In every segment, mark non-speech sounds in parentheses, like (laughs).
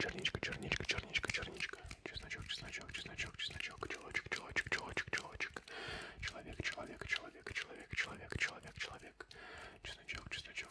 Черничка, черничка, черничка, черничка. Чесночок, чесночок, чесночок, чесночок, челочек, челочек, челочек, челочек. Человек, человек, человек, человек, человек, человек, человек. Чесночок, чесночок,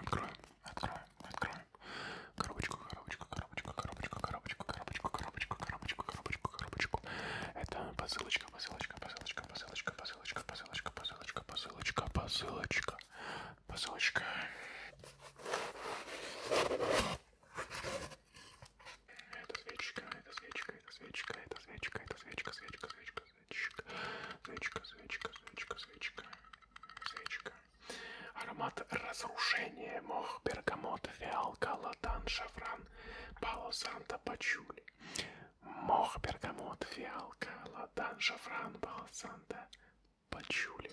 Откроем, откроем, откроем. Коробочку, коробочку, коробочку, коробочку, коробочку, коробочку, коробочку, коробочку, коробочку, коробочку. Это посылочка, посылочка, посылочка, посылочка, посылочка, посылочка, посылочка, посылочка, посылочка, посылочка. Это свечка, это свечка, это свечка, это свечка, это свечка, свечка, свечка, свечка, свечка, свечка, свечка, свечка, свечка. Аромат разрушения, мох, бергамот, фиалка, латан, шафран, пало санта, пачули. Мох, бергамот, фиалка, латан, шафран, пало санта, пачули.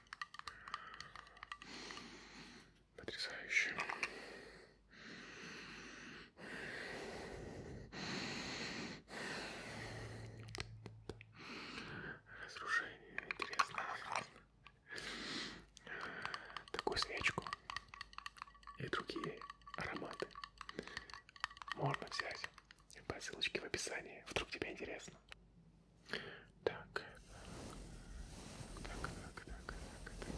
Потрясающе. Разрушение. Интересно. Такую свечку и другие ароматы можно взять по ссылочке в описании, вдруг тебе интересно. Так. Так, так, так, так, так, так.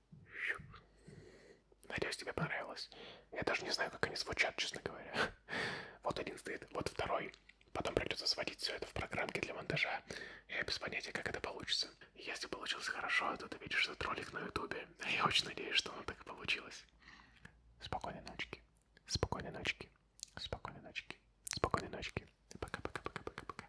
Надеюсь, тебе понравилось. Я даже не знаю, как они звучат, честно говоря. (laughs) Вот один стоит, вот второй. Потом придется сводить все это в программке для монтажа. Я без понятия, как это получится. Если получилось хорошо, то ты видишь этот ролик на ютубе. А я очень надеюсь, что оно так и получилось. Спокойной ночки. Спокойной ночки. Спокойной ночки. Спокойной ночки. Пока-пока-пока-пока-пока.